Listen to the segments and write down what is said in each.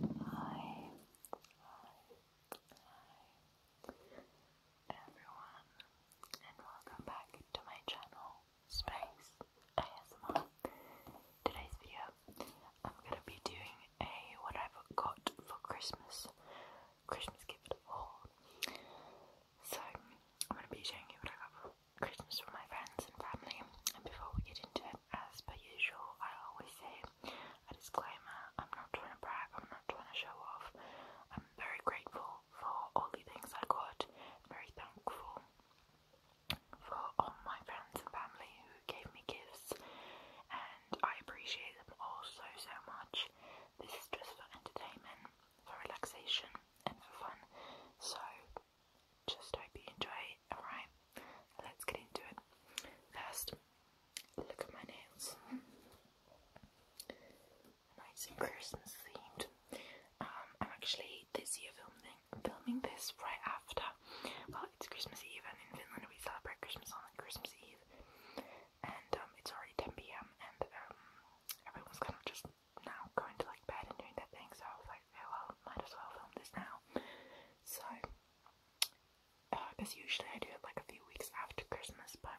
Hi, hi, hi, everyone, and welcome back to my channel, Space ASMR. Today's video, I'm gonna be doing a what I've got for Christmas, Christmas gift haul. So I'm gonna be showing you what I got for Christmas for my friends and family. And before we get into it, as per usual, I always say a disclaimer I'm not trying to brag, I'm not trying to show off. I'm very grateful for all the things I got, very thankful for all my friends and family who gave me gifts, and I appreciate them all so, so much. This is just for entertainment, for relaxation, and for fun. So, just hope you enjoy it. Alright, let's get into it. First, look at my nails. Nice and Christmas themed. I'm actually this year filming filming this right after. Well, it's Christmas Eve, and in Finland we celebrate Christmas on Christmas Eve. And um, it's already 10 p.m. and um, everyone's kind of just now going to like bed and doing their thing. So I was like oh well, might as well film this now. So, because uh, usually I do it like a few weeks after Christmas, but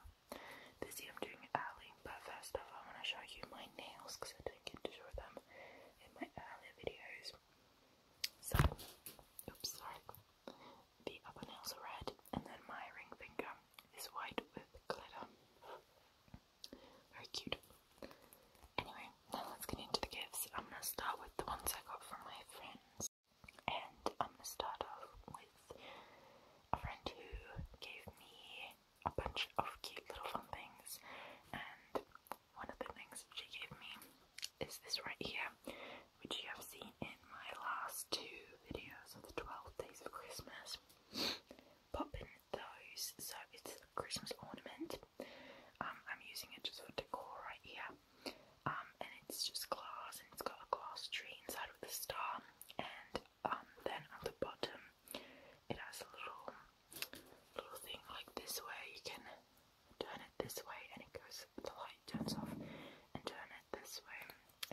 this year I'm doing it early. But first off, I want to show you my nails because I didn't get to show them in my earlier videos. So, oops, sorry. The upper nails are red, and then my ring finger is white with glitter. Very cute. Anyway, now let's get into the gifts. I'm gonna start with the ones I got from my friends, and I'm gonna start off with a friend who gave me a bunch of cute little fun things, and one of the things she gave me is this right here, which you have seen in my last two videos of the 12 days of Christmas. Pop in those, so it's Christmas ornament. Um, I'm using it just for decor right here. Um, and it's just glass and it's got a glass tree inside with the star. And um, then on the bottom, it has a little little thing like this way you can turn it this way and it goes, the light turns off, and turn it this way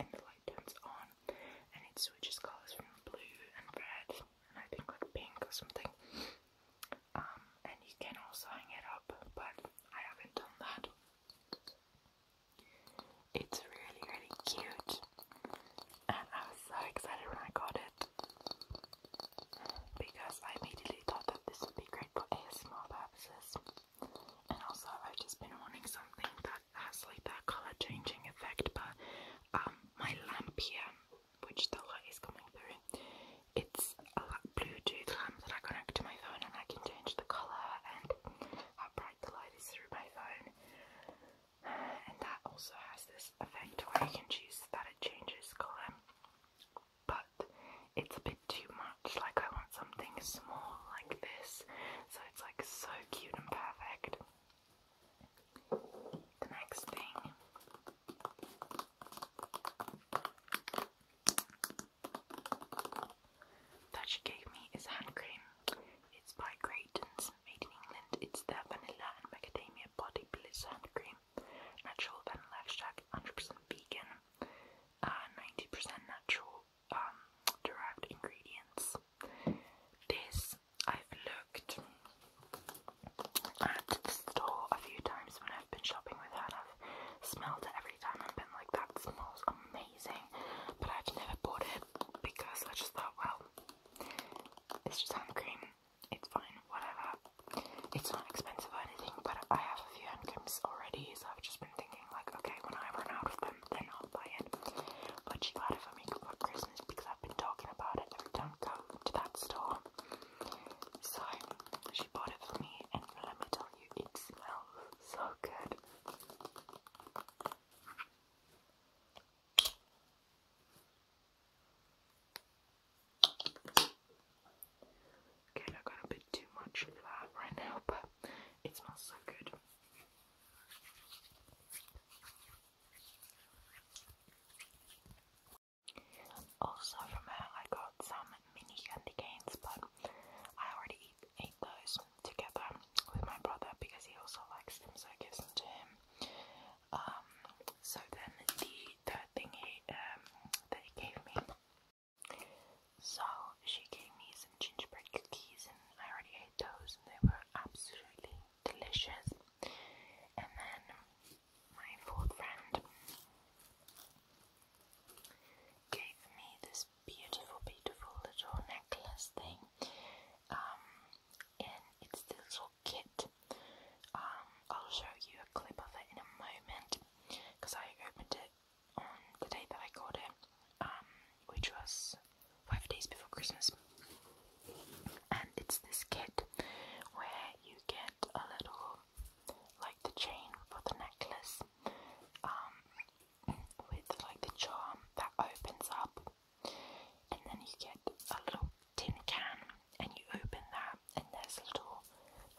and the light turns on, and it switches colours from blue and red and I think like pink or something um, and you can also hang it up, but I haven't done that. It's really, really cute, and I was so excited when I got it because I immediately thought that this would be great for ASMR purposes, and also I've just been wanting something that has like that color changing effect. But um, my lamp here which the light is coming through. It's a Bluetooth lamp that I connect to my phone and I can change the colour and how bright the light is through my phone. and that also has this effect where you can choose that it changes colour. But it's a bit too much, like I want something small like this. So it's like so cute and perfect. The next thing that she gave me is hand cream. It's by Grayton's, made in England. It's the vanilla and macadamia body bliss hand cream. Natural vanilla extract, 100% vegan, 90% natural um, derived ingredients. This I've looked at the store a few times when I've been shopping with her and I've smelled it every time I've been like, that smells amazing. But I've never bought it because I just thought, well, it's just hand cream, it's fine, whatever. It's not expensive or anything, but I have a few hand creams already, so I've just been thinking, like, okay, when I run out of them, then I'll buy it. But she got it for me for Christmas because I've been talking about it every time go to that store. So she bought it for me, and let me tell you, it smells so good. Okay, I got a bit too much of that right now, but it smells so good. Also from her I got some mini candy canes but I already ate those together with my brother because he also likes them so I gives them to him. Um, so then the third thing he, um, that he gave me, so she gave me some gingerbread cookies and I already ate those and they were absolutely delicious. And then my fourth friend, gave me this beautiful, beautiful little necklace thing. Um, and it's this little kit. Um, I'll show you a clip of it in a moment because I opened it on the day that I got it, um, which was five days before Christmas. And it's this kit where you get a little like the chain for the necklace, um, with like the charm that opens up, and then you get a little tin can, and you open that, and there's a little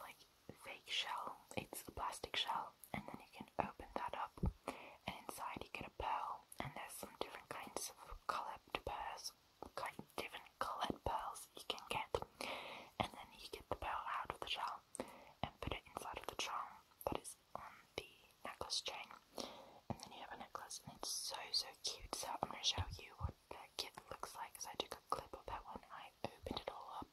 like fake shell. It's a plastic shell, and then you can open that up, and inside you get a pearl, and there's some different kinds of coloured pearls, kind different colored pearls you can get, and then you get the pearl out of the shell and put it inside of the charm that is on the necklace chain, and then you have a necklace, and it's so so cute. So I'm gonna show you what that kit looks like. because I took a clip of that one. I opened it all up.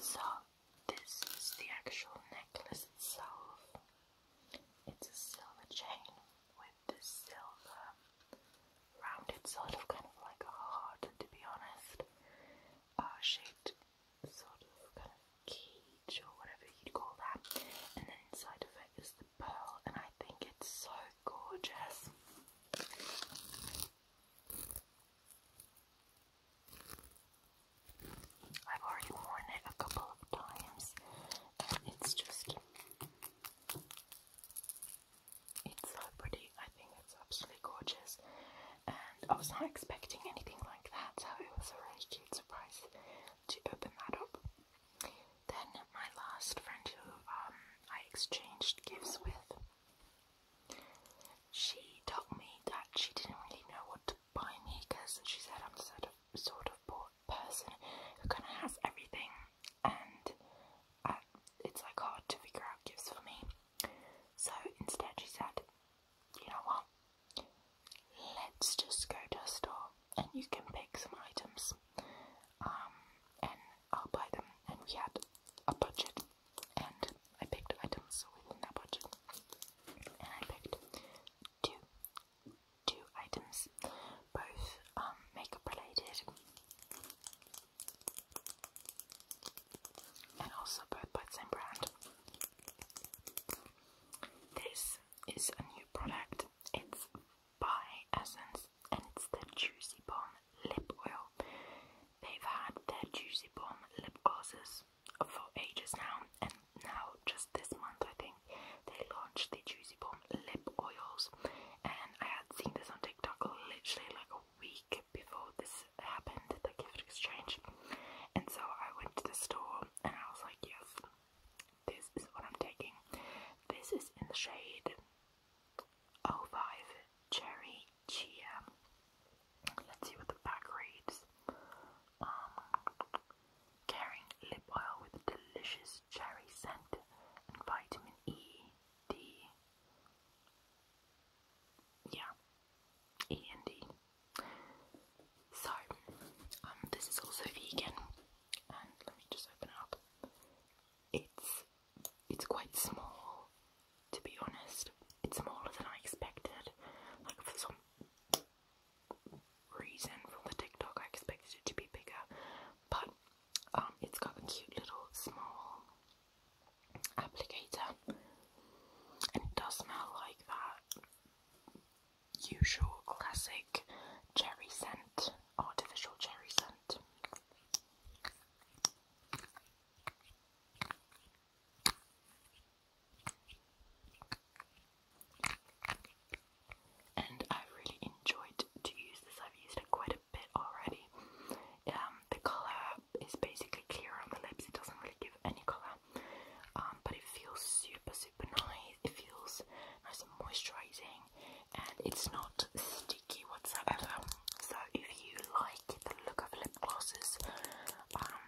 So, this is the actual necklace itself. It's a silver chain with this silver rounded sort of kind of like a heart, to be honest, uh, shaped sort of kind of cage or whatever you'd call that. And then inside of it is the pearl, and I think it's so gorgeous. I've already worn it a couple of times, and it's just. It's so pretty. I think it's absolutely gorgeous. And I was not expecting anything like that, so it was a really cute surprise to open that up. Then my last friend who um, I exchanged gifts with, she told me that she didn't really know what to buy me because she said I'm sort of sort of person who kind of has everything, and uh, it's like hard to figure out gifts for me. So instead, she said, "You know what? Let's just go to a store and you can pick some items um, and I'll buy them and we had a budget and I picked items within that budget and I picked two two items both um, makeup related and also both by the same brand this is a new product it's by Essence, and it's the Juicy Bomb Lip Oil. They've had their Juicy Bomb lip glosses for ages now, and now just this month, I think, they launched the Juicy Bomb lip oils. And I had seen this on TikTok literally like a week before this happened, the gift exchange. And so I went to the store and I was like, yes, this is what I'm taking. This is in the shade 05 Cherry Chia. Let's see what the back reads. Um, caring lip oil with a delicious cherry scent and vitamin E, D. Yeah, E and D. So, um, this is also vegan, let me just open it up. It's it's quite small, to be honest. It's smaller than I expected. Like for some reason from the TikTok, I expected it to be bigger, but um, it's got a cute little small applicator, and it does smell like that usual classic cherry scent, artificial cherry scent. And I really enjoyed to use this. I've used it quite a bit already. Um, the colour is basically clear on the lips. It doesn't really give any colour, um, but it feels super, super nice it feels nice and moisturizing and it's not sticky whatsoever so if you like the look of lip glosses um,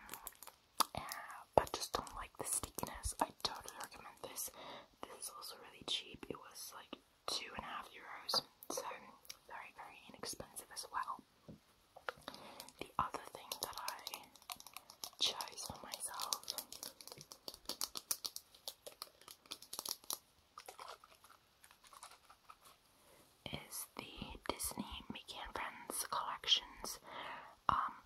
but just don't like the stickiness I totally recommend this this is also really cheap it was like two and a half euros so very very inexpensive as well the other thing that I chose for myself is the Disney Mickey and Friends collections, um,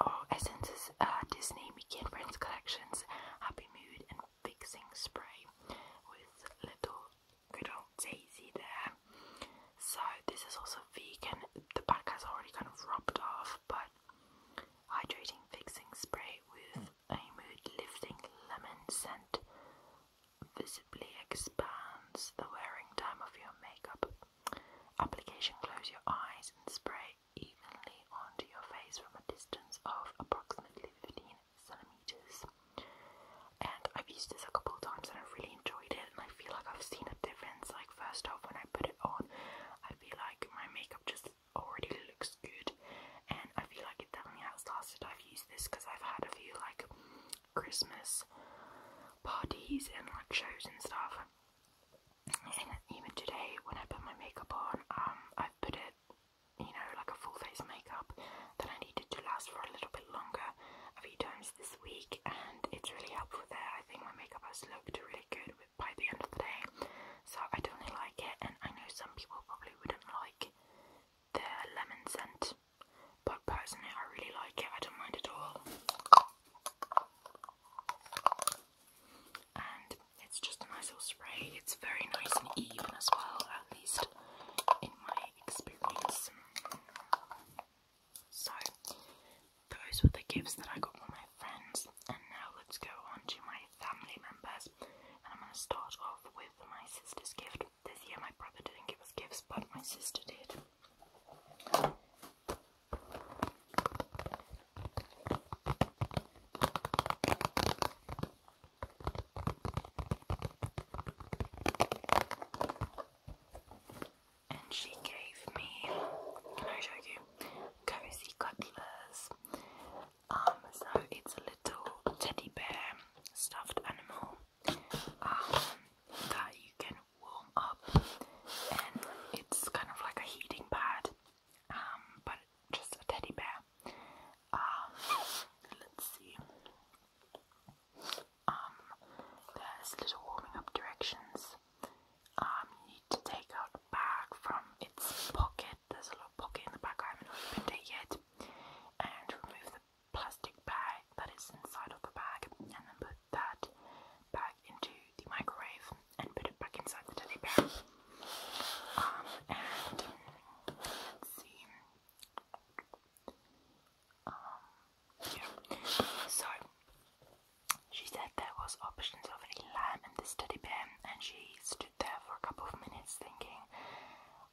or oh, Essence's uh, Disney Mickey and Friends collections, Happy Mood and Fixing Spray with little good Daisy there. So this is also vegan. The back has already kind of rubbed off, but Hydrating fixing spray with a mood lifting lemon scent visibly expands the wearing time of your makeup. Application close your eyes and spray evenly onto your face from a distance of approximately 15 centimeters. And I've used this a couple of times and I've really enjoyed it and I feel like I've seen a difference. Like first off when I put it on, I feel like my makeup just already looks good and I feel like it definitely has lasted. I've used this because I've had a few like Christmas parties and like shows and stuff. And even today when I put my makeup on, um i put it you know like a full face makeup that I needed to last for a little bit longer a few times this week and it's really helpful there. I think my makeup has looked really good by the end of the day. So I definitely like it, and I know some people probably wouldn't like the lemon scent, but personally, I really like it. I don't mind at all. And it's just a nice little spray. It's very nice and even as well, at least in my experience. So those were the gifts that I got for my friends, and now let's go on to my family members. And I'm going to start off with my sister's gift. This year, my brother didn't give us gifts, but my sister did. And she gave me, can I show you? cozy cutlers. Um, so it's a little teddy bear stuffed animal um, that you can warm up, and it's kind of like a heating pad, um, but just a teddy bear. let's see. there's little warming up directions um, need to take out a bag from its pocket. There's a little pocket in the back, I haven't opened it yet. And remove the plastic bag that is inside of the bag, and then put that bag into the microwave and put it back inside the teddy bear. Um, and let's see. Um, yeah. So she said there was options of a lamb and the teddy bear, and she stood there for a couple of minutes thinking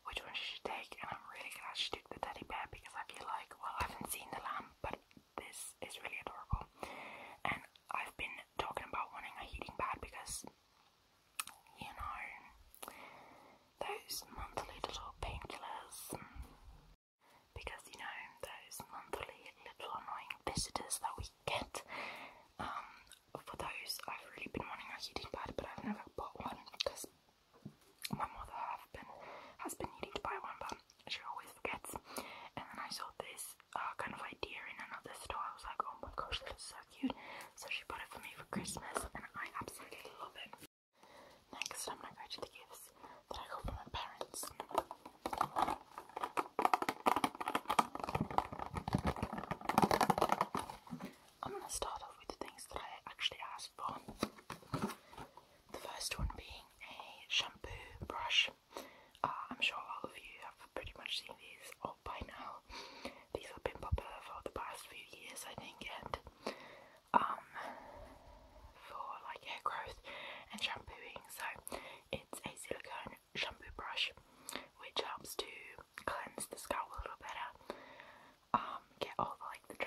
which one she should take, and I'm really glad she took the teddy bear because I feel like, well, I haven't seen the lamb, but this is really adorable. And I've been talking about wanting a heating pad because, you know, those monthly little painkillers, because, you know, those monthly little annoying visitors that we get. Um, for those, I've really been wanting a heating pad, but I've never bought one because my mother have been, has been needing to buy one, but she always forgets. And then I saw this uh, kind of idea in another store. I was like, oh my gosh, this is so cute. So she bought it for me for Christmas, and I absolutely love it. Next, I'm gonna go to the gifts that I got for my parents. I'm gonna start off with the things that I actually asked for. The first one being a shampoo brush. Uh, I'm sure all of you have pretty much seen these all by now. These have been popular for the past few years, I think, and um, for like hair growth and shampooing. So it's a silicone shampoo brush, which helps to cleanse the scalp a little better, um, get all the, like the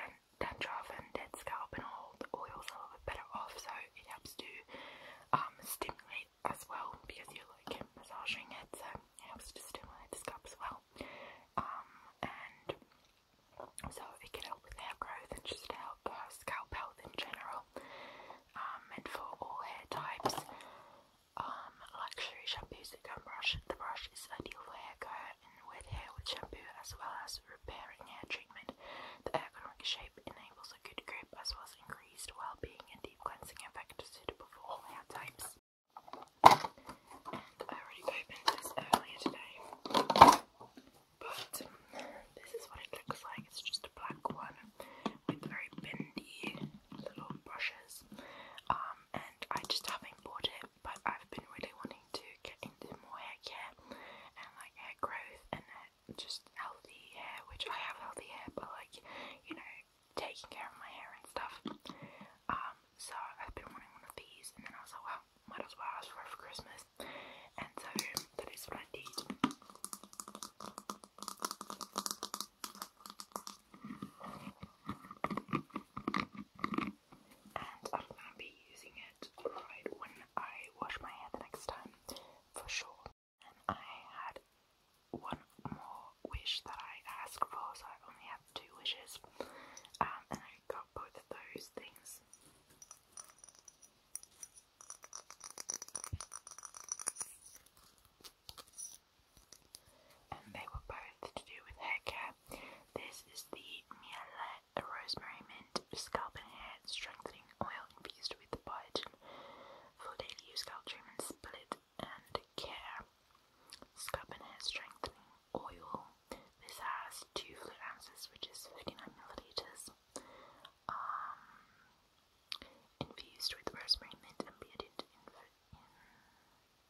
dandruff and dead scalp and all the oils a little bit better off. So it helps to um, stimulate as well because you're like massaging it, so it helps to stimulate the scalp as well. Um, and so it can help with hair growth and just help uh, scalp health in general um, meant for all hair types. Um, luxury shampoos that can brush. The brush is ideal for hair care and wet hair with shampoo, as well as repairing hair treatment. The ergonomic shape enables a good grip, as well as increased well-being and deep cleansing effect, suitable for all hair types. I already opened this earlier today, but this is what it looks like it's just a black one with very bendy little brushes. Um, and I just haven't bought it, but I've been really wanting to get into more hair care and like hair growth and uh, just healthy hair, which I have healthy hair, but like you know, taking care of my hair and stuff. Um, so I've been wanting one of these, and then I was like, well, might as well ask for it for Christmas, and so that is what I did. And I'm be using it right when I wash my hair the next time, for sure. And I had one more wish that I asked for, so I only have two wishes. Um, and I got both of those things and they were both to do with hair care. This is the Miele Rosemary Mint Scalp and Hair Strengthening Oil infused with biotin for daily use scalp treatment, split and care. Scalp and Hair Strengthening Oil. This has two fluid ounces, which is 59 milliliters. Um, Infused with rosemary, mint, and bearded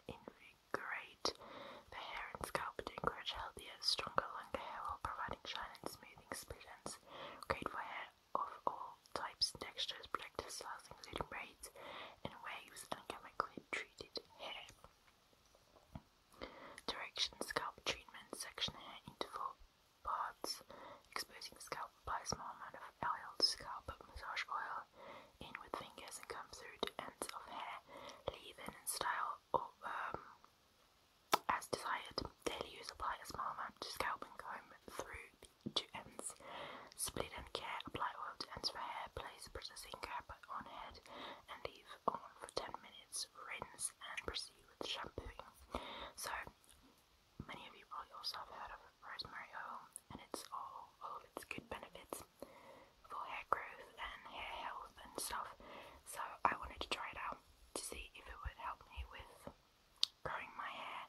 invigorate the hair and scalp to encourage healthier, stronger, longer hair while providing shine and smoothing solutions. Great for hair of all types textures, protective styles including braids and waves, and chemically treated hair. Direction scalp treatment, section hair interval parts, exposing the scalp. Apply a small amount of oil to scalp, massage oil in with fingers and come through to ends of hair. leaving in style or, um, as desired. Daily use. Apply a small amount to scalp and comb through to ends. Split and care. Apply oil to ends for hair. Place processing cap on head and leave on for 10 minutes. Rinse and proceed with shampooing. So Many of you probably also have heard of rosemary oil and its all, of its good benefits for hair growth and hair health and stuff. So I wanted to try it out to see if it would help me with growing my hair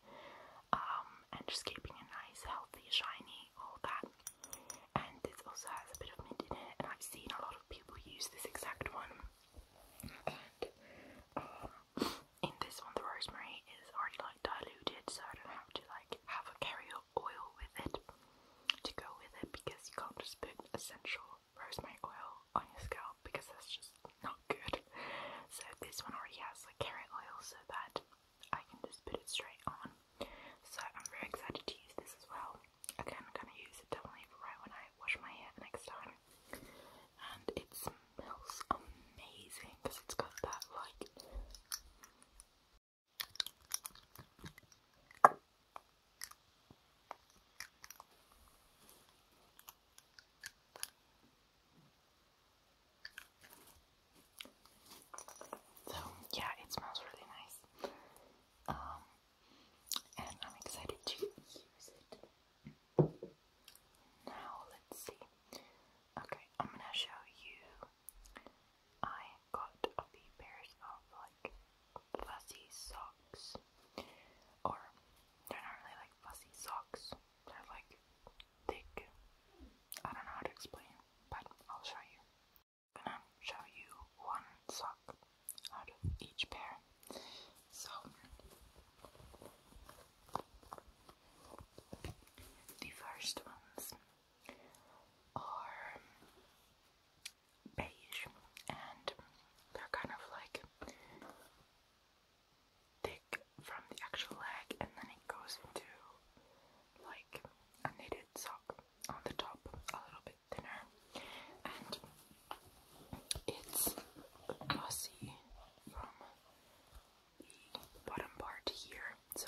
um, and just keeping it nice, healthy, shiny, all that. And this also has a bit of mint in it, and I've seen a lot of people use this exact one. Uh, in this one the rosemary is already like diluted so I don't have to like have a carrier oil with it to go with it because you can't just put essential rosemary oil on your scalp because that's just not good. So this one already has like carrier oil so that I can just put it straight on. So I'm very excited to use this as well. Again, I'm gonna use it definitely right when I wash my hair next time. And it's smells amazing because it's got that like so yeah, it smells really nice. Um, and I'm excited to use it. Now let's see. Okay, I'm gonna show you. I got a few pairs of like fuzzy socks, or they're not really like fuzzy socks. They're like thick. I don't know how to explain, but I'll show you. gonna show you one sock out of each pair. So. The first ones are beige and they're kind of like thick from the actual leg and then it goes into like a knitted sock on the top a little bit thinner and it's glossy from bottom part here. So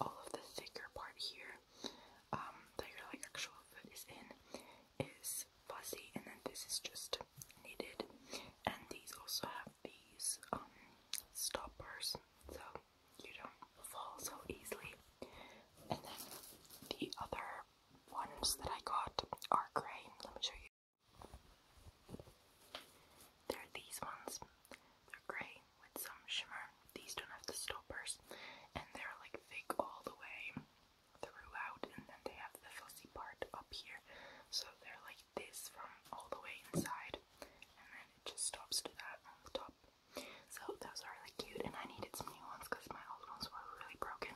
all of the thicker part here um, that your like actual foot is in is fuzzy, and then this is just knitted. And these also have these um, stoppers, so you don't fall so easily. And then the other ones that I got are gray. Let me show you. There are these ones. They're grey with some shimmer. These don't have the stoppers and they're like thick all the way throughout and then they have the fuzzy part up here. So they're like this from all the way inside and then it just stops to that on the top. So those are really cute and I needed some new ones because my old ones were really broken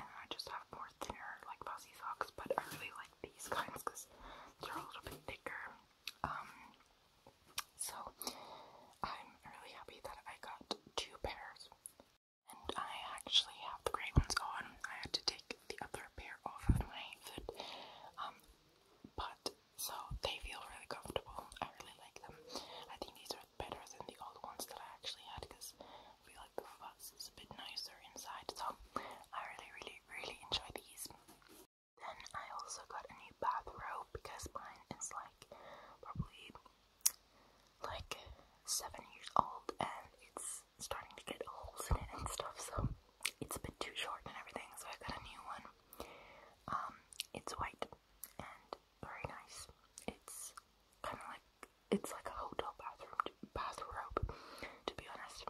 and I just have more thinner like fuzzy socks but I really like these kinds because they're a little bit thicker. Um, so I'm really happy that I got two pairs. And I actually have the grey ones on. I had to take the other pair off of my foot. Um, but so they feel really comfortable. I really like them. I think these are better than the old ones that I actually had because I feel like the fuzz is a bit nicer inside. So I really, really really enjoy these. Then I also got a new bathrobe because mine is like probably like seven years old and it's starting to get holes in it and stuff, so it's a bit too short and everything. So I got a new one. Um, it's white and very nice. It's kind of like it's like a hotel bathroom bathrobe, to be honest.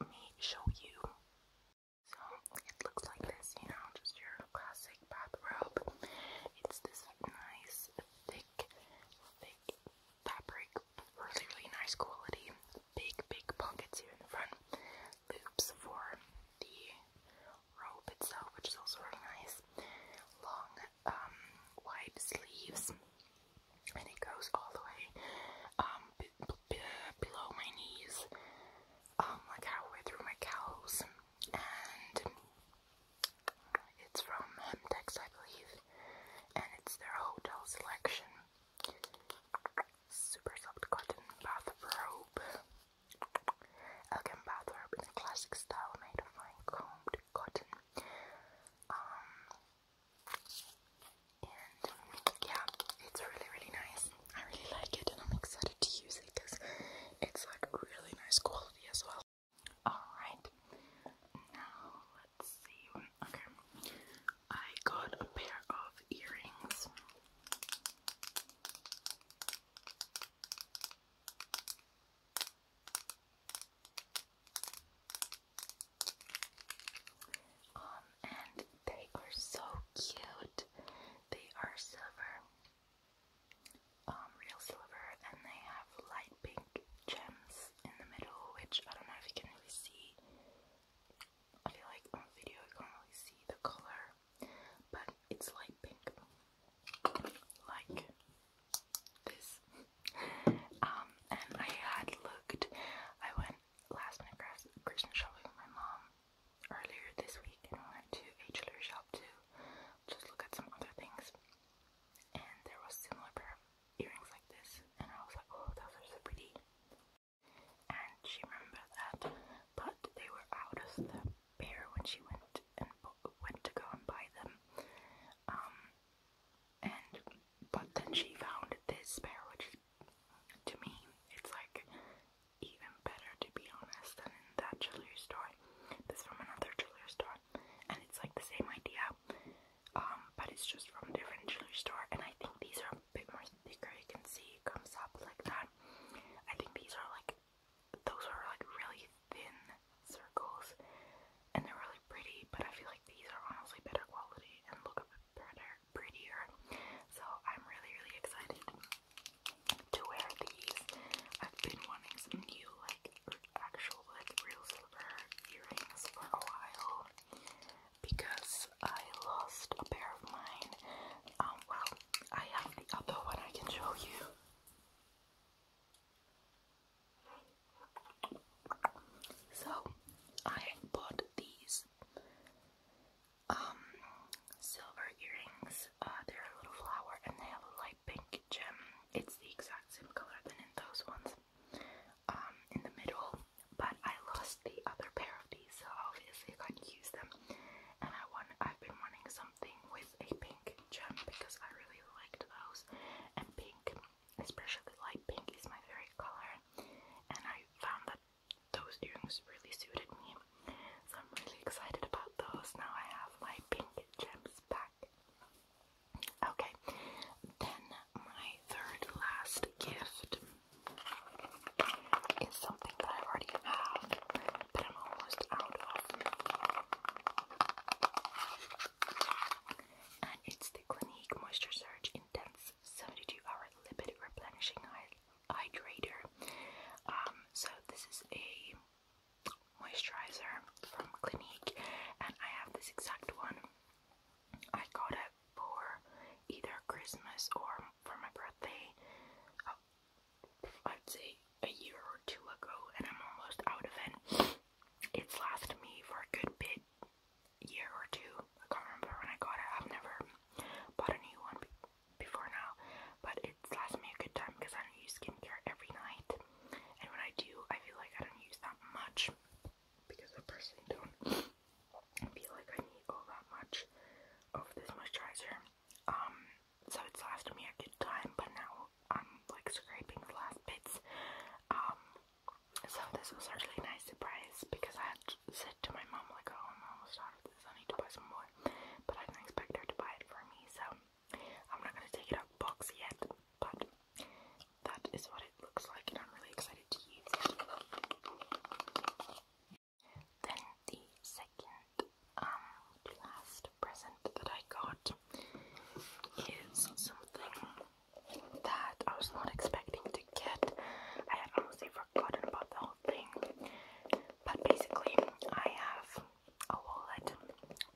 Let me show you. So it looks like this, you know, just your classic bathrobe. It's this nice, thick, thick fabric, really, really nice quality. Big, big pockets here in the front. Loops for the robe itself, which is also really nice. Long, um, wide sleeves, and it goes all the way um, below my knees, um, like halfway through my cows, and it's from Hemtex, I believe, and it's their hotel selection. Super soft cotton bathrobe. Elegant bathrobe in classic style made of fine combed cotton. Um, yeah, it's really, really nice. I really like it and I'm excited to use it because it's like really nice quality as well. Alright, now let's see. Okay, I got a pair of earrings. Um, and they are so cute. They are silver, um, real silver, and they have light pink gems in the middle, which I don't know if you can really see. I feel like on video you can't really see the color, but it's light pink, like this. um, and I had looked, I went last night Christmas shopping with my mom earlier this week and we went to a jewelry shop to just look at some other things and there was similar pair of earrings like this and I was like oh those are so pretty and she remembered that but they were out of the pair when she went and went to go and buy them um and but then she found this pair, which to me, it's like even better to be honest than in that jewelry store. This from another jewelry store, and it's like the same idea, um, but it's just from a different jewelry store. And I think these are a bit more thicker. You can see it comes up like that. I think these are like those are like really thin circles, and they're really pretty. But I feel like these are honestly better quality and look a bit better prettier. So I'm really, really excited to wear these. I've been wanting some new, like, actual, like, real silver earrings for a while because I lost a pair of mine. Um, well, I have the other one I can show you. So, I bought these um silver earrings. Uh, they're a little flower and they have a light pink gem. It's the exact same color than in those ones. Um, in the middle, but I lost the other pair of these, so obviously I couldn't use them. And I want I've been wanting something with a pink gem because I really liked those. And pink, especially light pink, is my favorite color and I found that those earrings really suited me. So I'm really excited about those. Now I have my pink gems back. Okay, then my third last gift is something that I already have, but I'm almost out of. it's the Clinique Moisture Surge Intense 72 hour lipid replenishing hydrator. Um, so this is a moisturizer from Clinique, and I have this exact one. I got it for either Christmas or for my birthday. Uh, I'd say a year or two ago, and I'm almost out of it. It's lasted me for a good bit year or two. I can't remember when I got it. I've never bought a new one before now, but it's lasted me a good time because I don't use skincare every night. And when I do, I feel like I don't use that much because I personally don't feel like I need all that much of this moisturizer. Um, so it's lasted me a good time, but now I'm like scraping the last bits. Um, so this was actually a nice surprise because I said to my mom like, oh, I'm almost out of this, I need to buy some more. But I didn't expect her to buy it for me, so I'm not gonna take it out of box yet. But that is what it looks like, and I'm really excited to use it. Then the second, um, last present that I got is something that I was not expecting to get. I had almost forgotten about the whole thing. But basically, I have a wallet,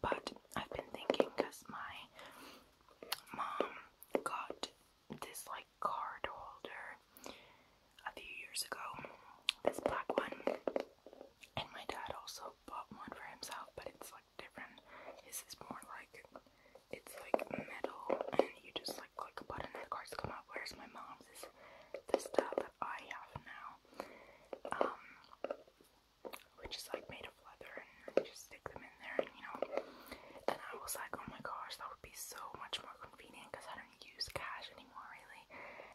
but I've been thinking because my mom got this like card holder a few years ago, this black one, and my dad also bought one for himself, but it's like different. This is more like it's like metal, and you just like like click a button and the cards come up. Whereas my mom's is the style that I have now, um, which is like made of leather and just stick them in there, and you know. And I was like, oh my gosh, that would be so much more convenient because I don't use cash anymore, really.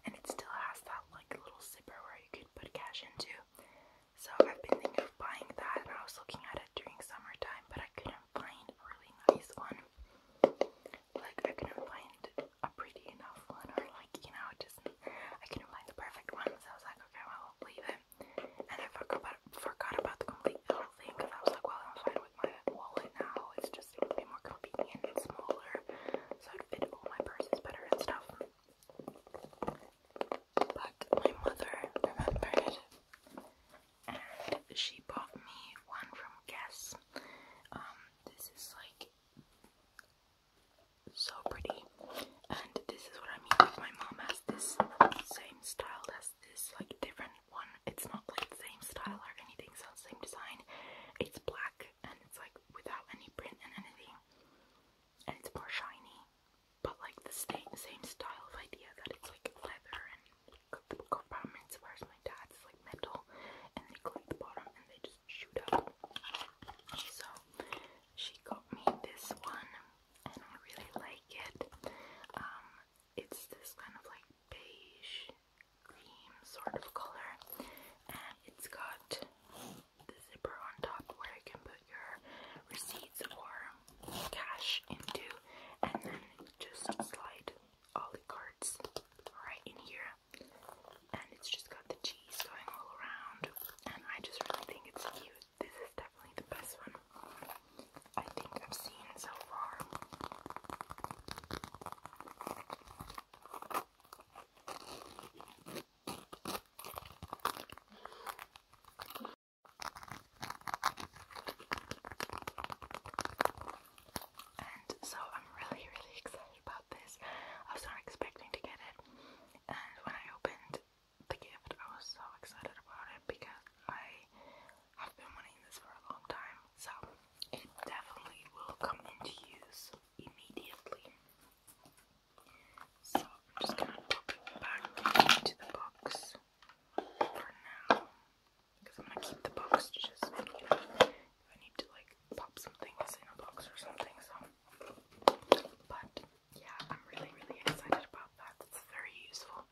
And it still has that like little zipper where you could put cash into. So I've been thinking of buying that, and I was looking at it during summertime, but I couldn't find a really nice one. Like, I couldn't find a pretty enough one, or like, you know, just I couldn't find the perfect one, so I was like, okay, well, leave it. And I forgot about, forgot about the complete little thing because I was like, well, I'm fine with my wallet now, it's just a little bit more convenient and smaller, so it fit all my purses better and stuff. But my mother remembered she bought me one from Guess. Um, this is like so pretty, and this is what I mean. my mom has this same style as this, like different one. It's not like the same style or anything. It's the same design. It's black and it's like without any print and anything, and it's more shiny. But like the same same style of idea that it's like leather and compartments, whereas my dad's like metal, and they go the bottom and they just shoot up. So she got me this one, and I really like it. Um, it's this kind of like beige green sort of color, and it's got the zipper on top where you can put your receipts or cash into, and then just slide all the cards right in here, and it's just got the cheese going all around. And I just really think it's cute. This is definitely the best one I think I've seen so far so I'm really, really excited about this. I was not expecting to get it, and when I opened the gift, I was so excited about it because I have been wanting this for a long time. So it definitely will come into use immediately. So I'm just gonna pop it back into the box for now. Because I'm gonna keep the box just, if I need to like pop something is in a box or something, so. But yeah, I'm really, really excited about that. It's very useful.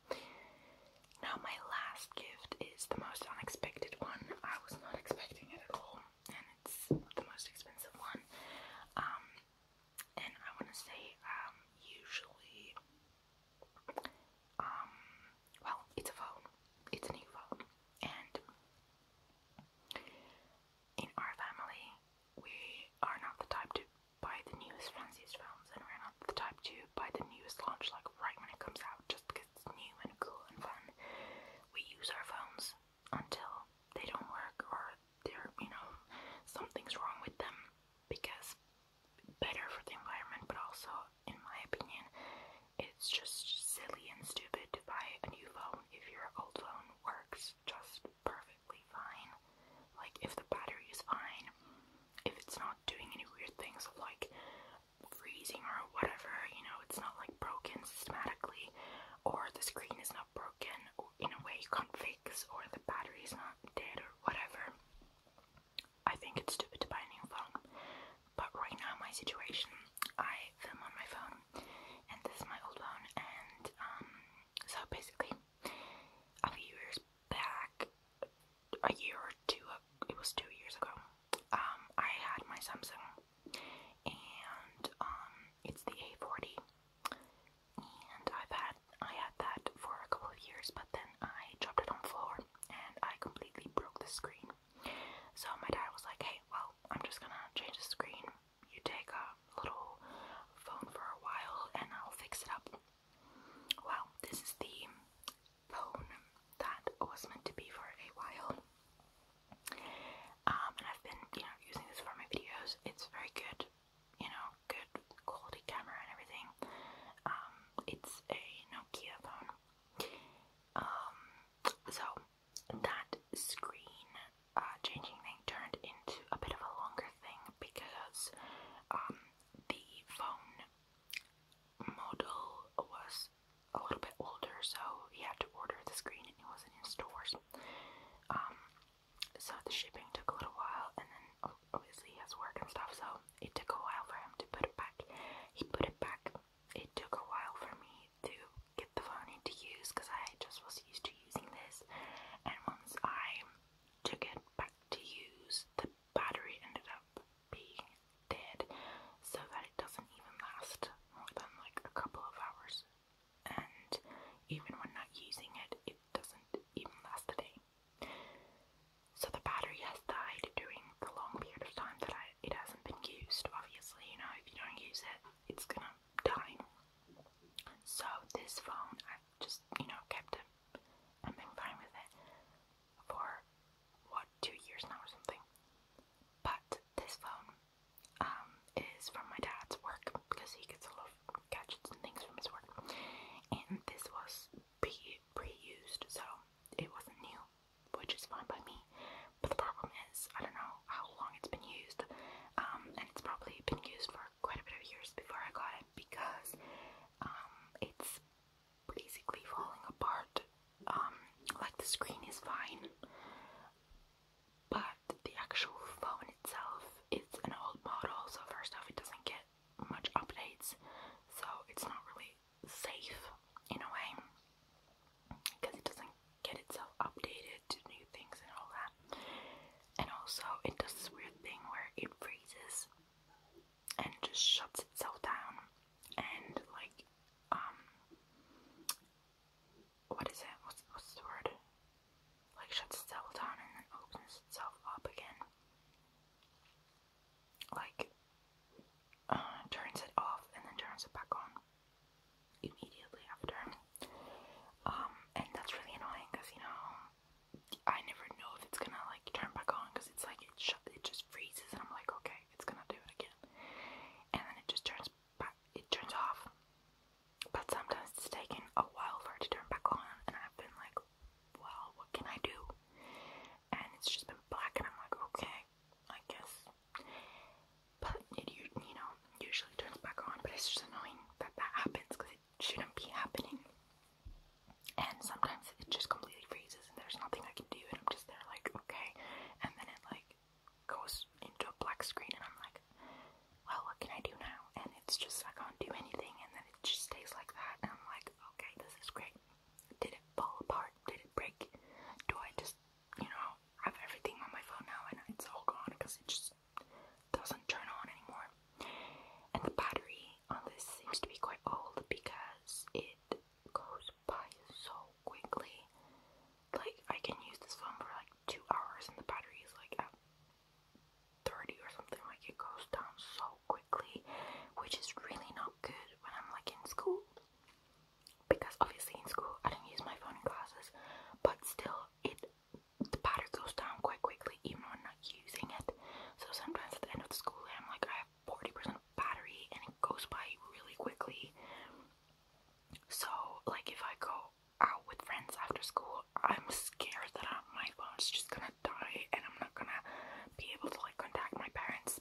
Now, my last gift is the most unexpected one. I was not expecting it at all, and it's the most expensive one. Um, and I want to say, um, usually um, well, it's a phone, it's a new phone, and in our family, we are not the type to buy the newest, fanciest phones, and we're not the type to buy the newest launch like right when it comes out just because it's new and cool and fun. We use our phones until they don't work or they you know, something's wrong with them because better for the environment, but also, in my opinion, it's just silly and stupid to buy a new phone if your old phone works just perfectly fine. Like, if the battery is fine, if it's not doing any weird things like freezing or whatever, you know, it's not like broken systematically, or the screen is not broken in a way you can't fix, or the battery is not dead or whatever. I think it's stupid to buy a new phone, but right now my situation, I film on my phone, and this is my old phone, and um, so basically, a few years back, a year or two, it was two years ago, um, I had my Samsung, and um, it's the A40, and I've had I had that for a couple of years, but then I dropped it on the floor and I completely broke the screen. So my dad was like, hey, well, I'm just gonna change the screen. You take a little phone for a while and I'll fix it up. Well, this is the phone that was meant to be for a while. Um, and I've been, you know, using this for my videos. It's very good, you know, good quality camera and everything. Um, it's a Nokia phone. Um, so that screen uh, changing thing turned into a bit of a longer thing because um, the phone model was a little bit older, so he had to order the screen and it wasn't in stores. Um, so the shipping took a little while, and then obviously he has work and stuff, so it took a while for him to put it back. He put it back. It took a while for me to get the phone to use because I just was used to using this. And once I took it back to use, the battery ended up being dead so that it doesn't even last more than like a couple of hours. And even when not using it, it doesn't even last a day. So the battery has died during the long period of time that I, it hasn't been used. Obviously, you know, if you don't use it, it's gonna die. So this phone, I've just, you know, kept it and been fine with it for what two years now or something. But this phone um, is from my dad's work because he gets a lot of gadgets and things from his work, and this was. Be pre-used, so it wasn't new, which is fine by me. But the problem is, I don't know how long it's been used, um, and it's probably been used for quite a bit of years before I got it because um, it's basically falling apart. Um, like the screen is fine, but the actual phone itself its an old model, so first off, it doesn't get much updates, so it's not really safe in a way because it doesn't get itself updated to new things and all that. And also, it does this weird thing where it freezes and just shuts itself down, and like, um, what is it? What's, what's the word? Like, shuts itself down and then opens itself up again like uh, turns it off and then turns it back on immediately after. Um, and that's really annoying because you know I never know if it's gonna like turn back on because it's like it shut, it just freezes, and I'm like, okay, it's gonna do it again, and then it just turns it turns off. But sometimes it's taken a while for it to turn back on, and I've been like, well, what can I do? And it's just been black, and I'm like, okay, I guess. But it, you, you know, usually turns back on, but it's just annoying that that happens because it shouldn't be happening. And sometimes it just completely freezes, and there's nothing I can do, and I'm just there like, okay. And then it like goes into a black screen, and I'm like, well, what can I do now? And it's just I can't do anything, and then it just stays like that, and I'm like, okay, this is great. Did it fall apart? Did it break? Do I just, you know, have everything on my phone now and it's all gone because it just doesn't turn on anymore? And the battery on this seems to be quite old because it goes by so quickly. Like, I can use this phone for like two hours and the battery is like at 30 or something. Like, it goes down so quickly, which is really not good when I'm like in school because obviously in school I don't use my phone in classes, but still it the battery goes down quite quickly even when I'm not using it. So sometimes at the end of the school I'm like I have 40% battery and it goes by really quickly. So like if I go out with friends after school, I'm scared that I, my phone's just gonna die and I'm not gonna be able to like contact my parents.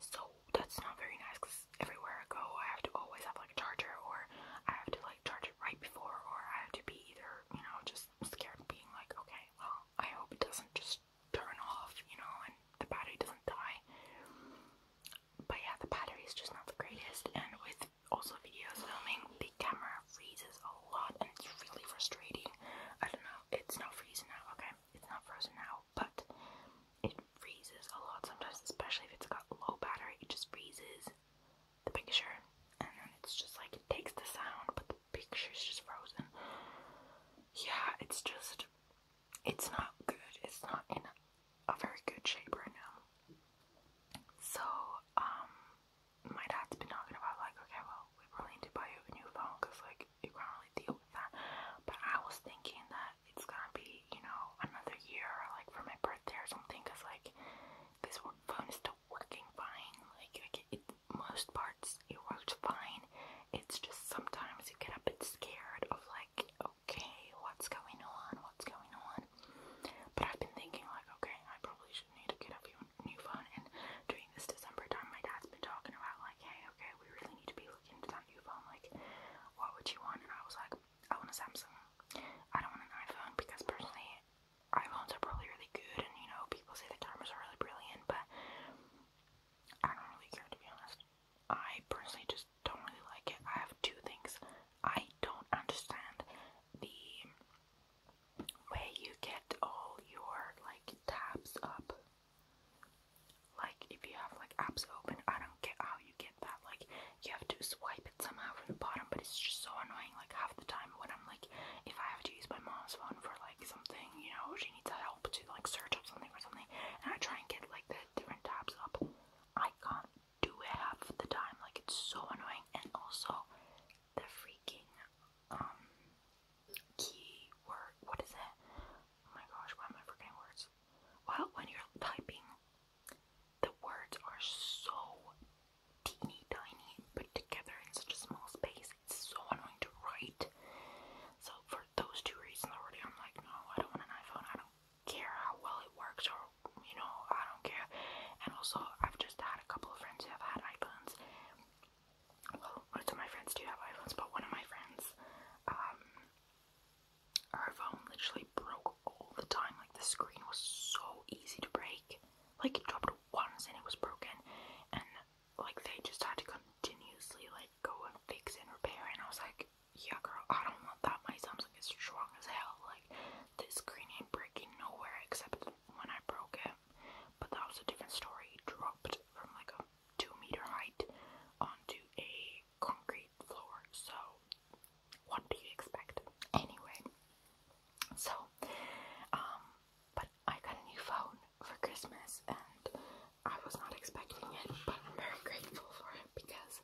So that's not very nice because everywhere I go, I have to always have like a charger, or I have to like charge it right before, or I have to be either you know just scared, being like, okay, well, I hope it doesn't just turn off, you know, and the battery doesn't die. But yeah, the battery is just not the greatest, and with also video filming, the camera freezes a lot, and it's really frustrating. I don't know, it's not freezing now, okay? It's not frozen now, but it freezes a lot sometimes, especially if it's got low battery. It just freezes the picture, and it's just like it takes the sound, but the picture's just frozen. Yeah, it's just, it's not good. It's not in a very good shape right now. So, um, my dad's been talking about like, okay, well, we really need to buy you a new phone because like you can't really deal with that. But I was thinking that it's gonna be, you know, another year, like for my birthday or something, cause like this phone is still working fine. Like, like it, most parts it works fine. It's just sometimes you get a bit scared of like, okay, what's going on? What's going on? But I've been thinking like, okay, I probably should need to get a few, new phone. And during this December time, my dad's been talking about like, hey, okay, we really need to be look into that new phone, like, what would you want? And I was like, I want a Samsung. I don't want an iPhone because personally, iPhones are probably really good, and you know, people say the cameras are really brilliant, but I don't really care to be honest. I personally just don't really like it. I have two things. I don't understand the way you get all your like tabs up like, if you have like apps open, I don't get how you get that. Like, you have to swipe it somehow from the bottom, but it's just so annoying. Like, half the time when I'm like, if I have to use my mom's phone for like something, you know, she needs help to like search up something or something, and I try and get like the different tabs up, I can't do it half the time. Like, it's so annoying, and also the freaking um keyword. What is it? Oh my gosh, why am I forgetting words? Well, when you're typing, the words are so teeny tiny put together in such a small space. It's so annoying to write. So for those two reasons already, I'm like, no, I don't want an iPhone. I don't care how well it works or, you know, I don't care. And also, I've just had a couple of friends who have had iPhones well, most of my friends do have iPhones, but one of my friends, um, her phone literally broke all the time. Like, the screen was so easy to break. Like, it dropped once and it was broken. And, like, they just had to continuously, like, go and fix and repair. And I was like, yeah, girl, I don't want that. My Samsung is strong as hell. Like, this screen ain't breaking nowhere except when I broke it. But that was a different story. dropped from, like, a two meter height onto a concrete floor. So, what do you expect? Anyway, so, um, but I got a new phone for Christmas and I was not expecting it, but I'm very grateful for it because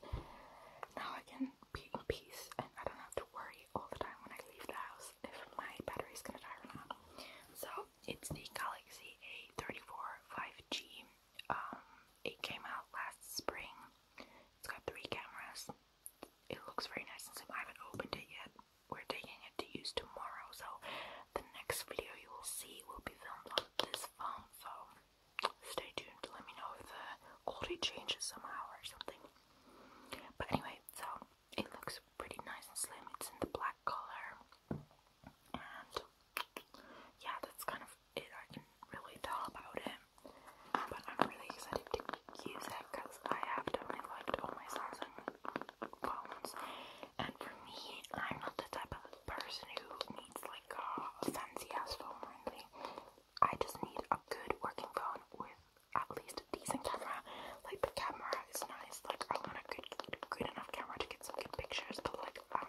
now I can be in peace and I don't have to worry all the time when I leave the house if my battery is gonna die or not. So, it's the Galaxy A34 5G. Um, it came out last spring. It's got three cameras. It looks very nice and slim. I haven't opened it yet. We're taking it to use tomorrow, so the next video you will see will be filmed on this phone. So stay tuned let me know if the quality changes somehow or something. But anyway, so it looks pretty nice and slim. It's in the black color yeah, that's kind of it. I can really tell about it. But I'm really excited to use it because I have definitely liked all my Samsung phones. And for me, I'm not the type of person who needs like a fancy ass phone or anything. I just need a good working phone with at least a decent camera. Like the camera is nice. Like I want a good, good enough camera to to good pictures, but like, um,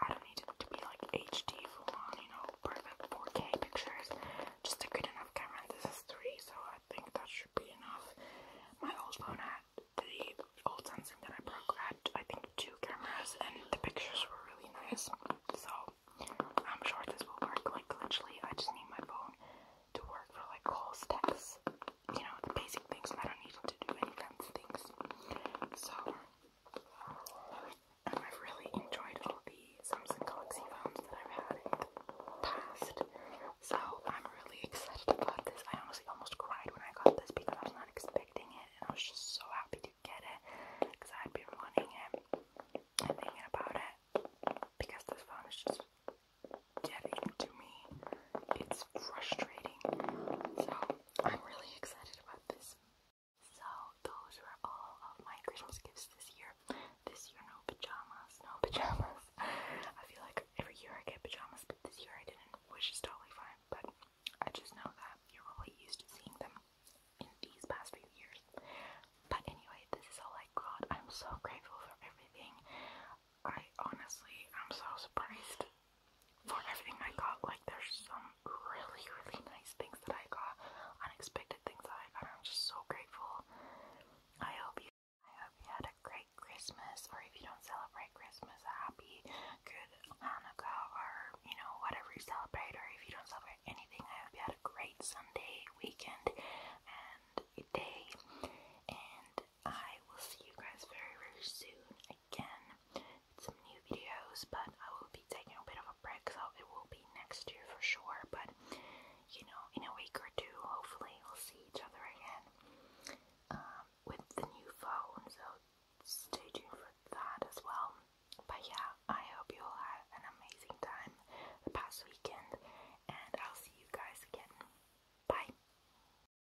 I don't need it to be like HD full on, you know, perfect 4K pictures. Just a good enough camera. This is three, so I think that should be enough. My old phone had the old Samsung that I broke had, I think, two cameras, and the pictures were really nice. So I'm sure this will work. Like, literally, I just need my phone to work for like calls, texts, you know, the basic things, I don't need to do any things. So, um, I've really enjoyed all the Samsung Galaxy phones that I've had in the past. So, I'm really excited about this. I honestly almost cried when I got this because I was not expecting it, and I was just so happy to get it because I had been wanting it and thinking about it because this phone is just getting to me. It's frustrating. So I'm really excited about this. So those were all of my Christmas gifts this year. This year no pajamas, no pajamas. I feel like every year I get pajamas, but this year I didn't, which is totally fine. But I just know that you're really used to seeing them in these past few years. But anyway, this is all I got. I'm so grateful for everything. I honestly, I'm so surprised for everything I got. Like, there's some really, really nice things that I got, unexpected things I got. I'm just so grateful. I hope you, I hope you had a great Christmas, or if you don't celebrate Christmas, a happy, good Hanukkah, or you know whatever you celebrate, or if you don't celebrate anything, I hope you had a great Sunday weekend and day. And I will see you guys very, very soon again some new videos, but I will be taking a bit of a break, so it will be next year for sure. But you know, in a week or two, hopefully, we'll see each other again um, with the new phone, so stay tuned for that as well. But yeah, I hope you all had an amazing time the past weekend, and I'll see you guys again. Bye.